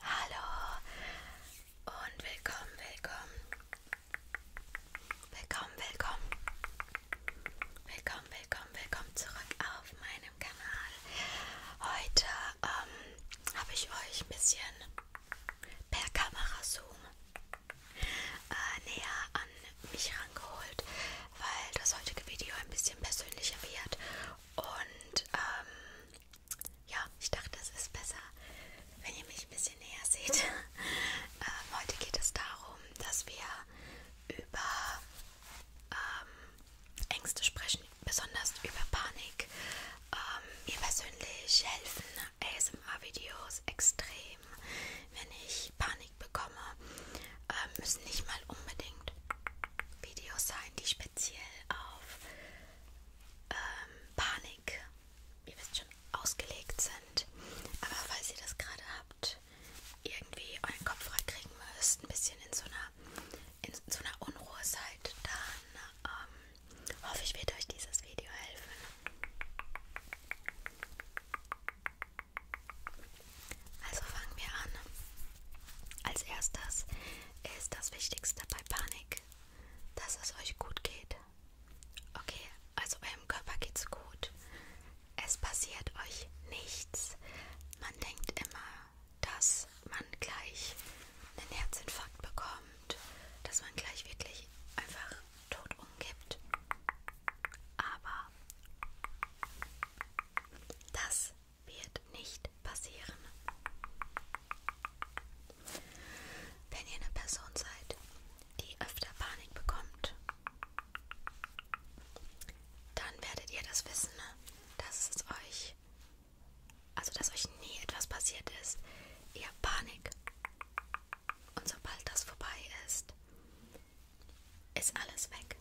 Hallo und willkommen, willkommen, willkommen, willkommen, willkommen, willkommen, willkommen zurück auf meinem Kanal. Heute ähm, habe ich euch ein bisschen per Kamera Zoom äh, näher an mich rangeholt, weil das heutige Video ein bisschen persönlicher wird. Und ähm, ja, ich dachte, es ist besser, wenn ihr mich ein bisschen näher seht. ähm, heute geht es darum, dass wir über ähm, Ängste sprechen, besonders über Panik. Ähm, mir persönlich helfen ASMR-Videos extrem, wenn ich Panik geschickt bekomme, äh, müssen nicht mal unbedingt Videos sein, die speziell auf ähm, Panik, ihr wisst schon, ausgelegt sind. Aber falls ihr das gerade habt, irgendwie euren Kopf frei kriegen müsst, ein bisschen in so einer, in so einer Unruhe seid, dann ähm, hoffe ich, wird euch dieses Video helfen. Also fangen wir an. Als erstes ist das Wichtigste bei Panik, dass es euch gut geht. Okay, also eurem Körper geht's gut. Es passiert euch nichts. Man denkt immer, dass man gleich einen Herzinfarkt bekommt, dass man gleich wirklich einfach tot umgibt. Aber das wird nicht passieren. Wenn ihr eine Person seid, die öfter Panik bekommt, dann werdet ihr das wissen, ne? dass es euch, also dass euch nie etwas passiert ist. Ihr habt Panik. Und sobald das vorbei ist, ist alles weg.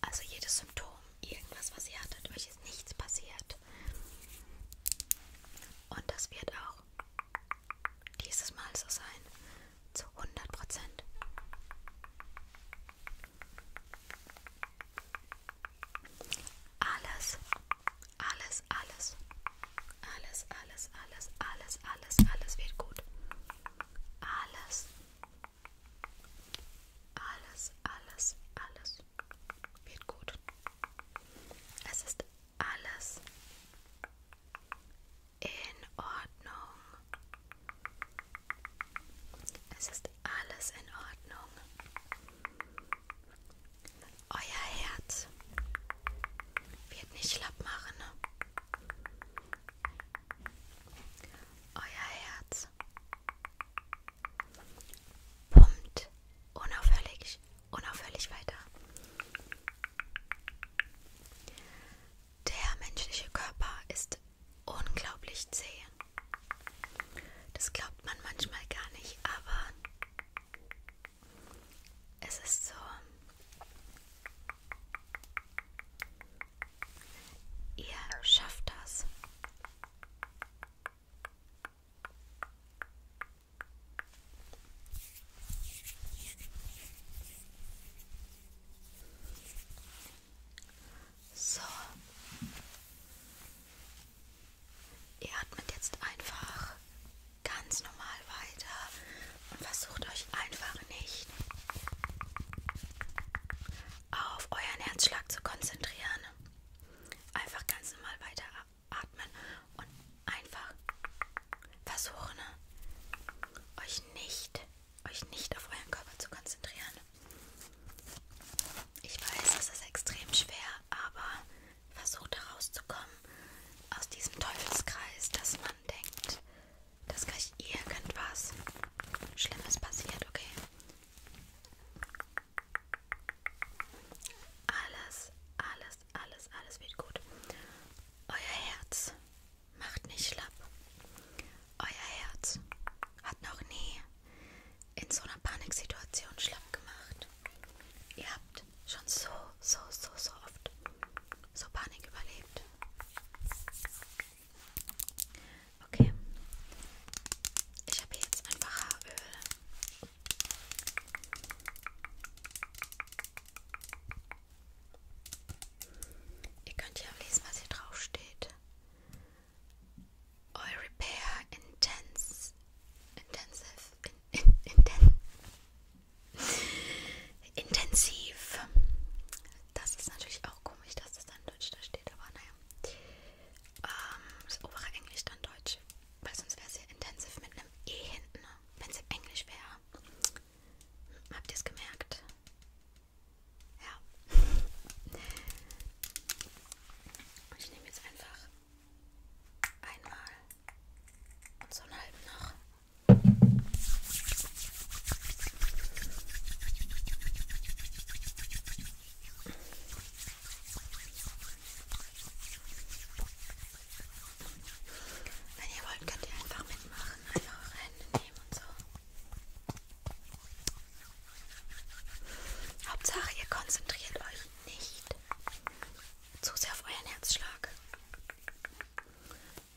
Also jedes Symptom, irgendwas, was ihr hattet, euch ist nichts passiert. Und das wird auch dieses Mal so sein. Zu 100 Prozent. Alles, alles, alles, alles, alles, alles, alles, alles, alles wird gut alles, alles, alles, alles wird gut. Es ist alles in Ordnung. Es ist alles in Ordnung. Euer Herz wird nicht schlapp machen. Euer Herz pumpt unaufhörlich, unaufhörlich weiter. Der menschliche Körper ist unglaublich zäh. Das glaubt man manchmal gar nicht, aber es ist so. Ihr schafft das. So. Ihr atmet jetzt einfach ganz normal weiter und versucht euch einfach nicht auf euren Herzschlag zu konzentrieren. Einfach ganz normal weiter atmen und einfach versuchen, euch nicht, euch nicht auf euren Körper zu konzentrieren. Ich weiß, es ist extrem schwer, aber versucht herauszukommen aus diesem Teufelskreis, dass man denkt, dass gleich irgendwas Schlimmes passiert, okay? Alles, alles, alles, alles wird gut. Euer Herz macht nicht schlapp. Euer Herz hat noch nie in so einer Paniksituation schlapp gemacht. Ihr habt schon so, so, so, so oft so Panik überlebt. Okay. Ich habe jetzt einfach Haaröl. Ihr könnt ja auch lesen, was hier drauf steht. Oil Repair Intense Intensive in, in, in, intensiv. Das ist natürlich auch komisch, dass es dann Deutsch da steht, aber naja. Ähm, das obere Englisch dann Deutsch, weil sonst wäre es ja intensiv mit einem E hinten, ne? wenn es im Englisch wäre. Hm, habt ihr es gemerkt? Ja. Und ich nehme jetzt einfach einmal und so einen halben noch wenn ihr wollt, könnt ihr einfach mitmachen, einfach eure Hände nehmen und so. Hauptsache, ihr konzentriert euch nicht zu sehr auf euren Herzschlag.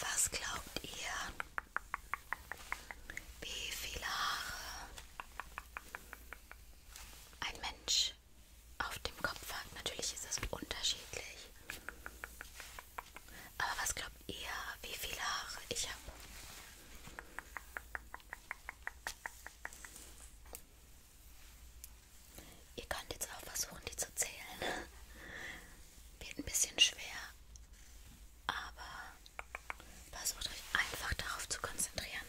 Was glaubt ihr? Wie viele Haare ein Mensch auf dem Kopf hat? Natürlich ist es unterschiedlich. Aber was glaubt ihr, wie viele Haare ich habe? Ihr könnt jetzt auch versuchen, die zu zählen. Wird ein bisschen schwer, aber versucht euch einfach darauf zu konzentrieren.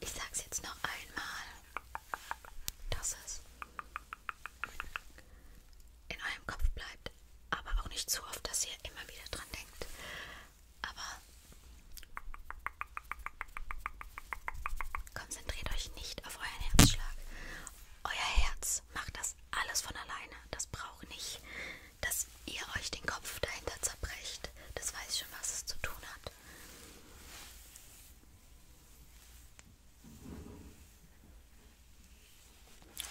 Ich sag's jetzt noch einmal. Dass es in eurem Kopf bleibt, aber auch nicht zu oft, dass ihr immer wieder dran denkt. Aber konzentriert euch nicht auf euren Herzschlag. Euer Herz macht das alles von alleine. Das braucht nicht, dass ihr euch den Kopf dahinter zerbrecht. Das weiß schon, was es zu tun hat.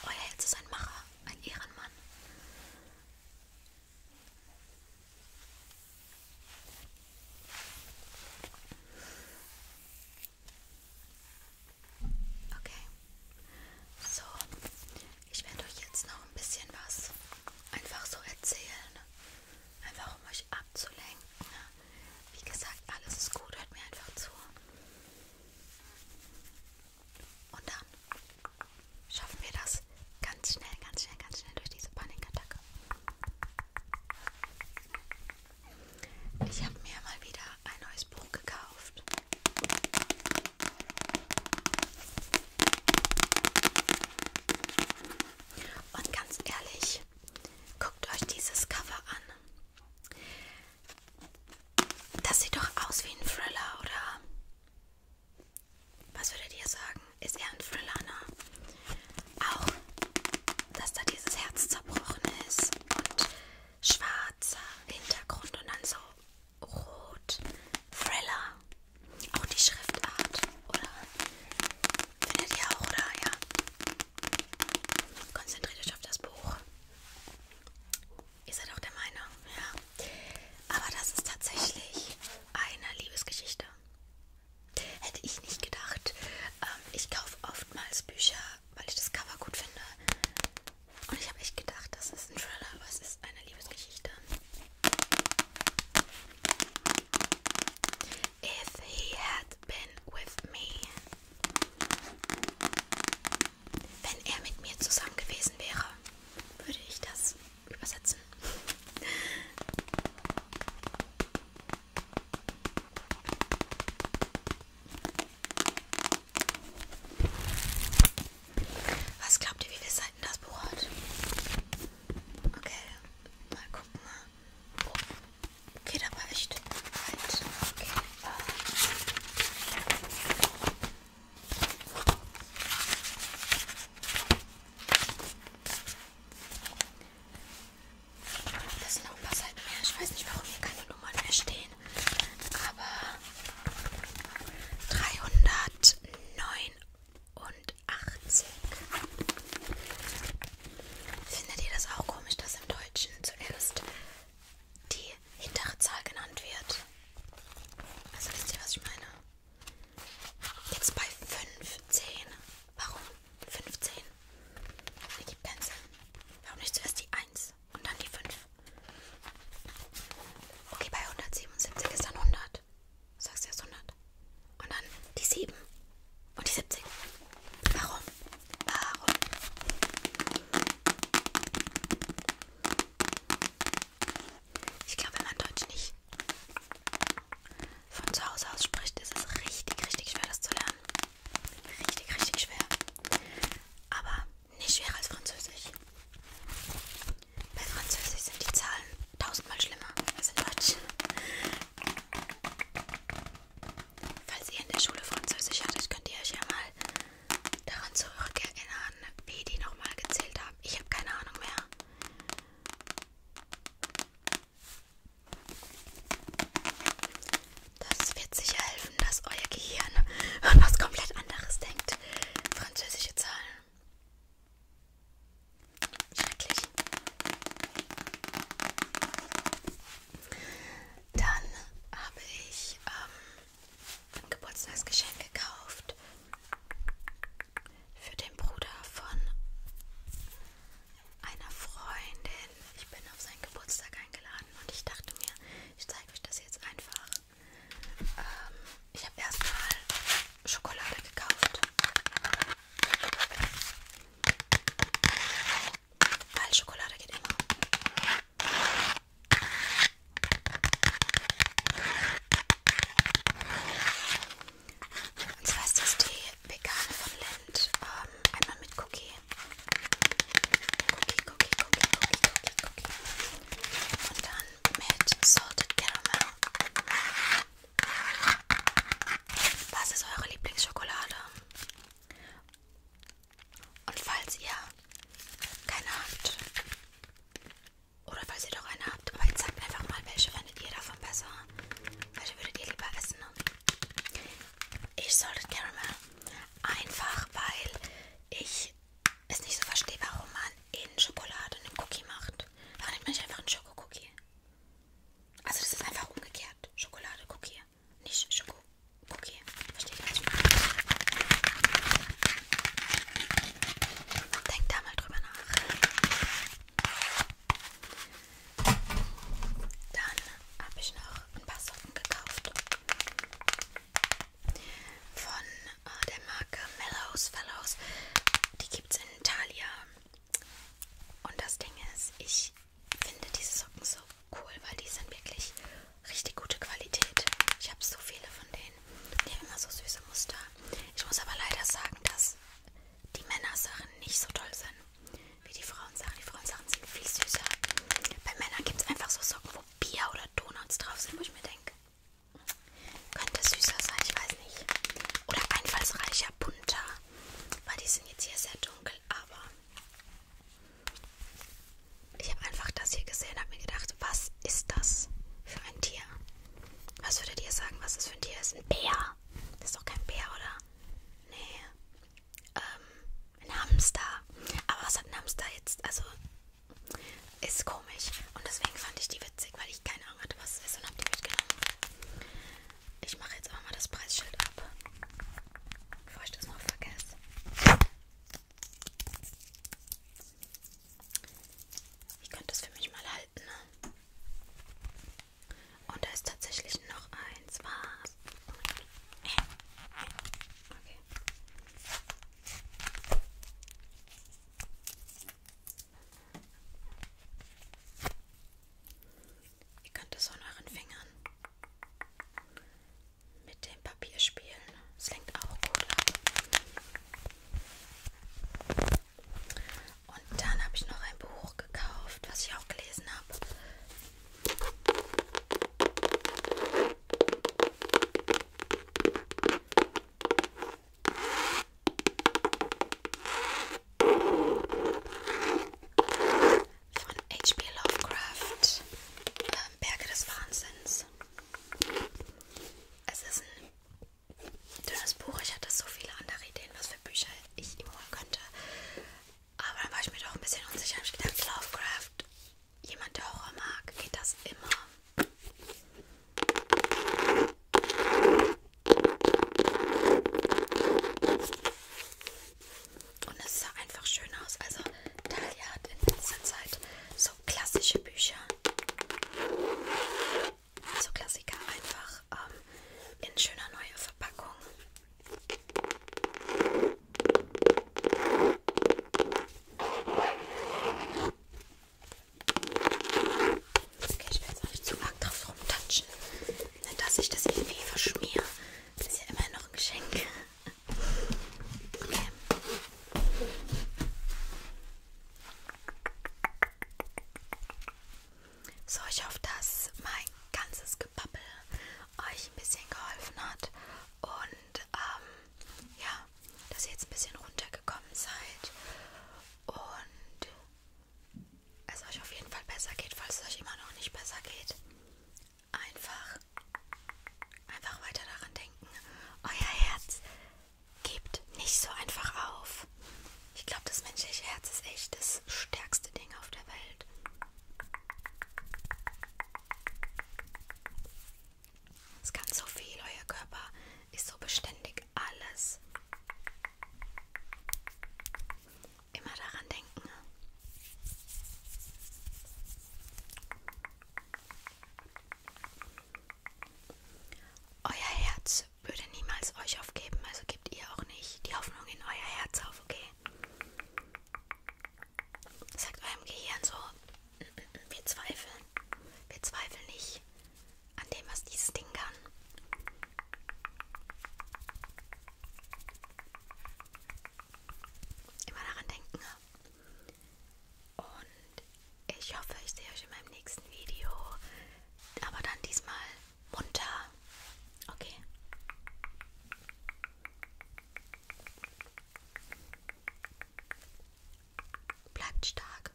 Euer Herz ist ein Macher, ein Ehrenmann. Okay. So, ich werde euch jetzt noch ein bisschen was einfach so erzählen. Einfach um euch abzulenken. Ne? Wie gesagt, alles ist gut, hört mir einfach zu. Und dann schaffen wir das ganz schnell, ganz schnell, ganz schnell durch diese Panikattacke. Ich habe mir mal wieder ein neues Buch gekauft. Und ganz ehrlich, guckt euch dieses Cover an. Das sieht doch aus wie ein Thriller, oder? Was würdet ihr sagen? Ist er ein Thriller, ne? Auch, dass da dieses Herz zerbrochen ist und schwarzer Hintergrund und dann so rot. Thriller. Auch die Schriftart, oder? Findet ihr auch, oder? Ja. Konzentriert euch auf das Buch. Ihr seid auch der Meinung, ja. Aber das ist tatsächlich eine Liebesgeschichte. Hätte ich nicht gedacht. Ähm, ich kaufe oftmals Bücher, weil ich das Cover gut finde. Und ich habe echt gedacht, das ist ein Thriller, aber es ist eine Liebesgeschichte. If he had been with me wenn er mit mir zusammen gewesen wäre, würde ich das übersetzen. Was glaubt ihr, wie viele Seiten das Buch hat? Okay, mal gucken. Oh, geht aber echt weit. Okay. Äh, das sind noch ein paar Seiten mehr. Ich weiß nicht, warum hier keine Nummern mehr stehen. Aber 389. Findet ihr das auch komisch, dass im Deutschen zuerst die hintere Zahl genannt wird. Also wisst ihr, was ich meine? Jetzt bei 15. Warum 15? Ergibt keinen Sinn. Warum nicht zuerst die 1 und dann die 5? Okay, bei 177 ist dann 100. Sagst du erst 100. Und dann die 7 und die 70. Warum? Warum? Ich glaube, wenn man Deutsch nicht von zu Hause aus spricht, ist es richtig, richtig schwer, das zu lernen. Richtig, richtig schwer. Aber nicht schwerer als Französisch. Bei Französisch sind die Zahlen tausendmal schlimmer als in Deutsch. Falls ihr in der Schule Französisch hattet, könnt ihr euch ja mal daran zurückerinnern, wie die nochmal gezählt haben. Ich habe keine Ahnung mehr. Das wird sicher helfen, dass euer Gehirn an was komplett anderes denkt. Französische Zahlen. Schrecklich. Dann habe ich ähm, Geburtstagsgeschenk gekauft für den Bruder von einer Freundin. Ich bin auf seinen Geburtstag eingeladen und ich dachte mir, ich zeige euch das jetzt einfach. Ähm, ich habe erstmal Schokolade gekauft. Weil Schokolade geht immer. Und zwar ist das die vegane von Lind. Ähm, einmal mit Cookie. Cookie, Cookie, Cookie, Cookie, Cookie, Cookie. Und dann mit Salted Caramel. Was ist eure Lieblingsschokolade? Und falls ihr keine habt, oder falls ihr doch eine habt, aber jetzt sagt einfach mal, welche findet ihr davon besser? Welche würdet ihr lieber essen? Ich Salted Caramel. Einfach weil ich es nicht so verstehe, warum man in Schokolade einen Cookie macht. Warum nimmt man nicht einfach einen Schokocookie? Also das ist einfach umgekehrt. Schokolade, Cookie hier. Nicht Schoko. Okay, versteht ihr, was ich meine? Denkt da mal drüber nach. Dann habe ich noch ein paar Socken gekauft. Von äh, der Marke Mellows Fellows. Die gibt es in Italia. Und das Ding ist, ich finde diese Socken so cool, weil die sind wirklich richtig gute Qualität. Ich habe so viele von denen. Die haben immer so süße Muster. Ich muss aber leider sagen, dass die Männersachen nicht so toll sind wie die Frauensachen. Die Frauensachen sind viel süßer. Bei Männern gibt es einfach so Socken, wo Bier oder Donuts drauf sind, wo ich mir denke, könnte süßer sein, ich weiß nicht. Oder einfallsreicher, bunter. Weil die sind jetzt hier sehr dunkel, aber ich habe einfach das hier gesehen und habe mir gedacht, was ist das für ein Tier? Was würdet ihr sagen, was das für ein Tier ist? Ein Bär. Das ist doch kein Bär, oder? Nee. Ähm, ein Hamster. Aber was hat ein Hamster jetzt? Also, ist komisch. Und deswegen fand ich die witzig, weil ich keine Ahnung hatte, was es ist und habe die mitgenommen. Ich mache jetzt auch mal das Preisschild ab. Bevor ich das noch vergesse. Ich könnte das für mich mal halten. Ne? Und da ist tatsächlich noch eins. Was? Okay. Ihr könnt es an euren Fingern mit dem Papier spielen. Es lenkt auch gut ab. Und dann habe ich noch ein Buch gekauft, was ich auch gelesen habe von H.P. Lovecraft, ähm, Berge des Wahnsinns. Es ist ein dünnes Buch. Ich hatte so viele andere Ideen, was für Bücher ich ihm holen könnte. Aber dann war ich mir doch ein bisschen unsicher. Hab ich habe gedacht, Lovecraft, jemand, der Horror mag, geht das immer. Und es sah einfach schön aus. Also Talia hat in letzter Zeit so klassische Bücher, so Klassiker einfach ähm, in schöner neuer Verpackung. Okay, ich will jetzt auch nicht zu arg drauf rumtatschen, ne, dass ich das irgendwie verschmiere. Das ist ja immerhin noch ein Geschenk. Okay. So, ich hoffe, dass mein ganzes Gebabbel euch ein bisschen geholfen hat und ähm, ja, dass ihr jetzt ein bisschen runtergekommen seid und es also euch auf jeden Fall besser geht, falls es euch immer noch nicht besser geht einfach, einfach weiter daran denken. Euer Herz gebt nicht so einfach auf. Ich glaube, das menschliche Herz ist echt das stärkste Ding auf der Welt. Es kann so viel, euer Körper ist so beständig alles. Immer daran denken. Ne? Euer Herz würde niemals euch aufgeben, also gebt ihr auch nicht die Hoffnung in euer Herz auf, okay? Sagt eurem Gehirn so, wir zweifeln. Wir zweifeln nicht an dem, was dieses Ding kann immer daran denken. Ne? Und ich hoffe, ich sehe euch in meinem nächsten Video. Aber dann diesmal munter. Okay. Bleibt stark.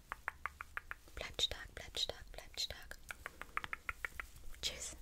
Bleibt stark, bleibt stark, bleibt stark. Tschüss.